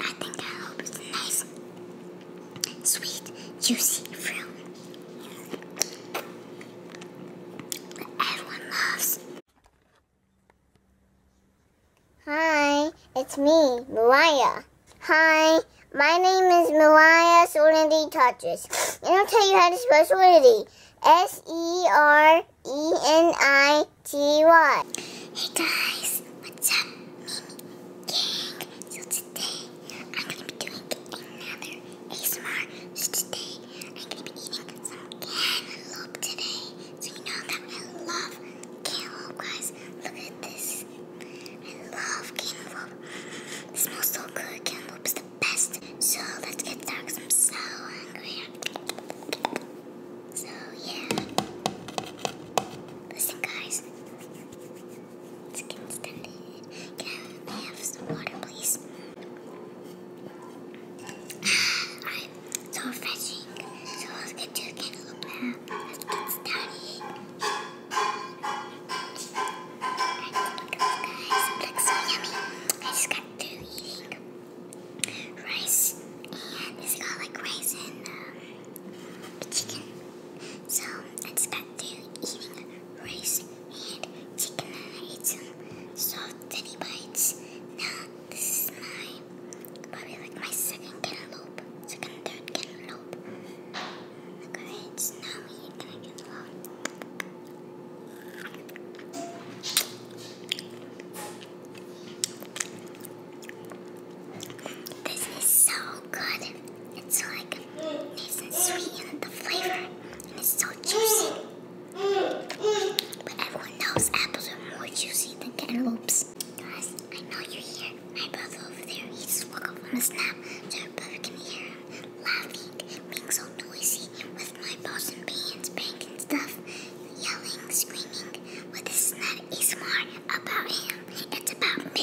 I think I hope it's nice, sweet, juicy fruit. Everyone loves. Hi, it's me, Mariah. Hi, my name is Mariah Solenity Touches. And I'll tell you how to spell Solenity. S-E-R-E-N-I G1. Hey guys, what's up? Mimi Gang. So today, I'm going to be doing another ASMR. So today, I'm going to be eating some cantaloupe today. So you know that I love cantaloupe, guys. Look at this. I love cantaloupe. It smells so good. Cantaloupe is the best. So let's get started. I'm so hungry. So, yeah. Listen, guys. Let's get started. Can I have some water, please? Alright, ah, so refreshing. So, let's get to the cantaloupe Let's get started. look so yummy. I just got through eating rice and it's got like rice and um, chicken. So I just got to eating rice and chicken and I ate some soft teddy bites. Now this is my probably like my second cantaloupe, second third cantaloupe. Alright, so now we cantaloupe. This is so good. It's like nice and sweet and the flavor. And it's so juicy. But everyone knows apples are more juicy than cantaloupes. Guys, I know you're here. My brother over there, he just woke up from a nap. So your can hear him laughing, being so noisy with my boss and beans, banking stuff, yelling, screaming. What is this is not ASMR about him, it's about me.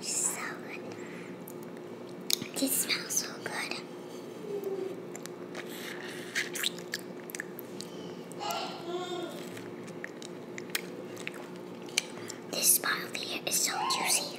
So good. This smells so good. This bottle here is so juicy.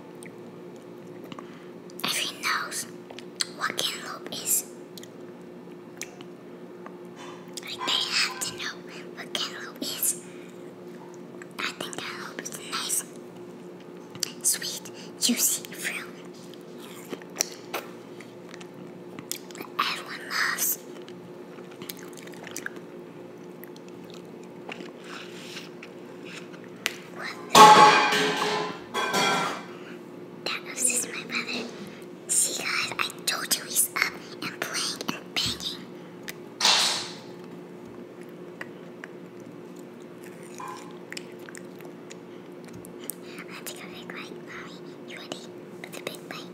Everyone knows what cantaloupe is. they have to know what cantaloupe is. I think cantaloupe is a nice, sweet, juicy fruit. Everyone loves. That was just my brother. See guys, I told you he's up and playing and banging. I have to go big right, mommy. You ready for the big bite?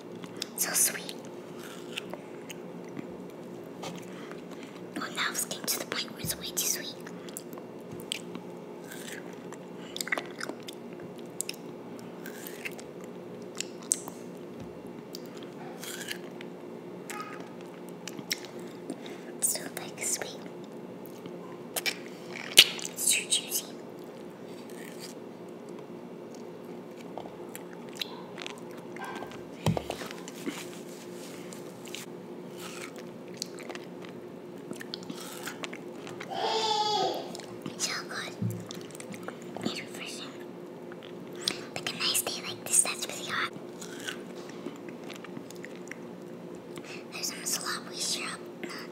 So sweet. Well, now it's to the point where it's way too sweet. It's like sweet. It's too juicy. So good refreshing. Like a nice day like this, that's really hot. There's some sloppy syrup.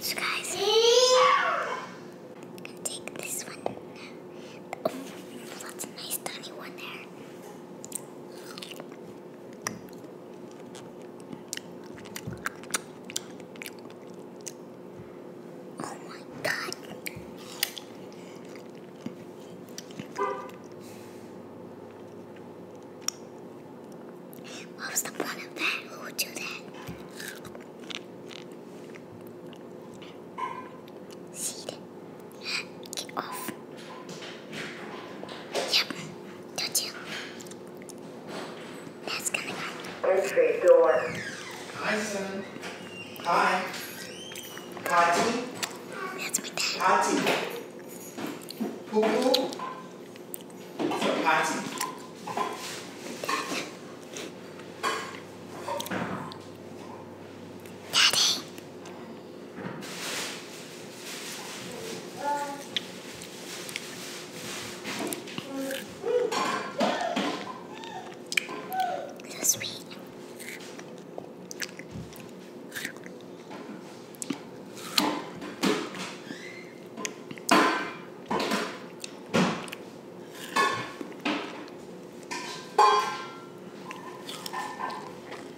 So guys, I'm gonna take this one. Oh, that's a nice tiny one there. Oh my god. What was the point of that? Who would do that? Seed. Get off. Yep. Don't that's coming up. Entry door. Hi, son. Hi. Party. That's my dad. Party. Poo poo. It's a Daddy. So sweet.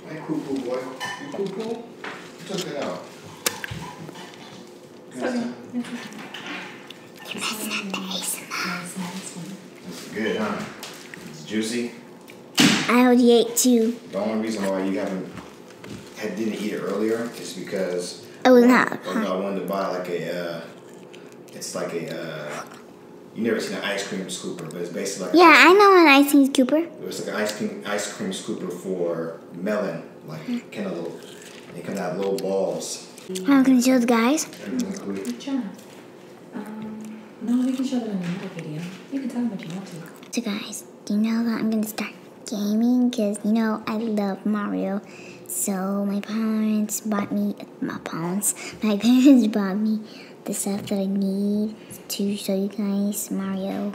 Hey, cuckoo boy. You cuckoo? took it out. Okay. you It's good, huh? It's juicy. I already ate two. The only reason why you haven't had, didn't eat it earlier is because it not. Oh no, I wanted to buy like a. Uh, it's like a. Uh, you never seen an ice cream scooper, but it's basically like. Yeah, I know an ice cream scooper. It was like an ice cream ice cream scooper for melon like kind of little, they kind have little balls. Oh, can you show the guys? Good um, no, we can show them in another video. You can tell them if you want to. So guys, do you know that I'm gonna start gaming? Cause you know I love Mario. So my parents bought me my parents. My parents bought me the stuff that I need to show you guys Mario.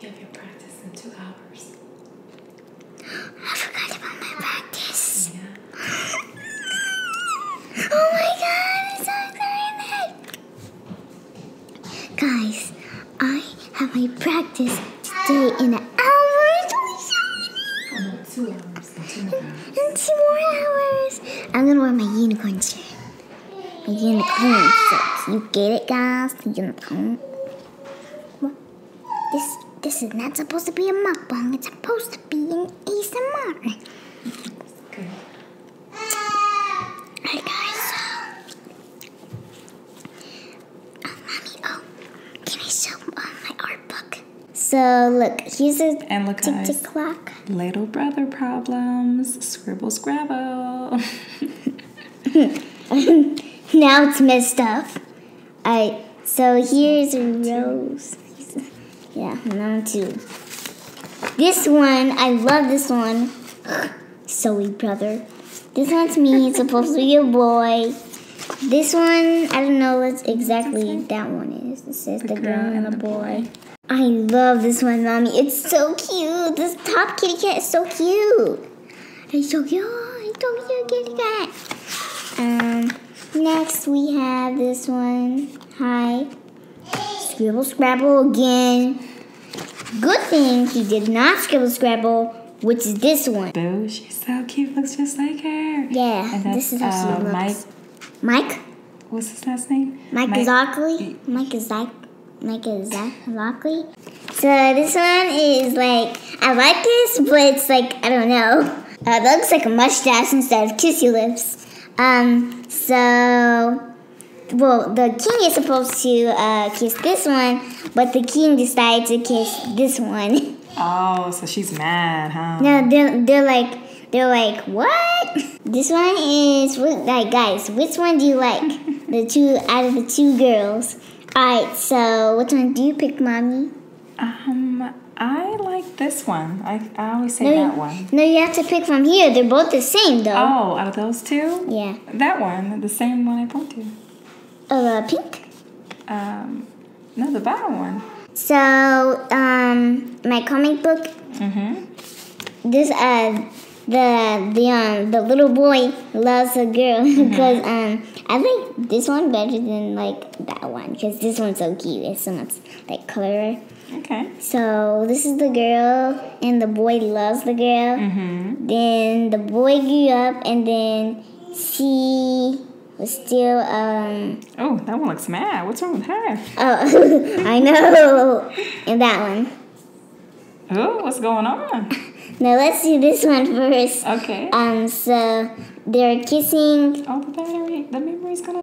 You have your practice in two hours. I forgot about my practice. oh my god, i so excited! Guys, I have my practice today in an hour. It's only so in two more hours. I'm gonna wear my unicorn shirt. My unicorn shirt. You get it, guys? unicorn. this this is not supposed to be a mukbang. It's supposed to be an ASMR. Good. Alright, guys. oh, mommy. Oh, can I show uh, my art book? So look, here's a tick tock tick clock. Little brother problems. Scribbles, scrabble. now it's messed up. Alright, so here's a rose. Yeah, number two. This one, I love this one. Zoe brother. This one's me, it's supposed to be a boy. This one, I don't know what exactly that one is. This is the girl, and a boy. I love this one, mommy. It's so cute. This top kitty cat is so cute. It's so cute. It's so cute, kitty cat. Um, next we have this one. Hi. Scribble Scrabble again. Good thing he did not scribble Scrabble, which is this one. Boo, she's so cute. Looks just like her. Yeah, this is how she uh, looks. Mike? What's his last name? Mike, Mike Zockley. Mike Zach. Mike Zach Lockley. So this one is like I like this, but it's like I don't know. Uh, that looks like a mustache instead of kissy lips. Um. So well, the king is supposed to uh, kiss this one, but the king decided to kiss this one. Oh, so she's mad, huh? No, they're, they're like, they're like, what? This one is, like, guys, which one do you like? the two, out of the two girls. All right, so which one do you pick, Mommy? Um, I like this one. I, I always say no, that one. No, you have to pick from here. They're both the same, though. Oh, out of those two? Yeah. That one, the same one I pointed to. uh, pink? Um, no, the bottom one. So, um, my comic book. hmm This uh, the the um the little boy loves a girl because mm-hmm. um I like this one better than like that one because this one's so cute. It's so much like color. Okay. So this is the girl and the boy loves the girl. hmm Then the boy grew up and then see. Let's do Um, oh, that one looks mad. What's wrong with her? Oh, I know. And that one. Oh, what's going on? Now let's do this one first. Okay. Um. So they're kissing. Oh, the battery. The memory's gonna.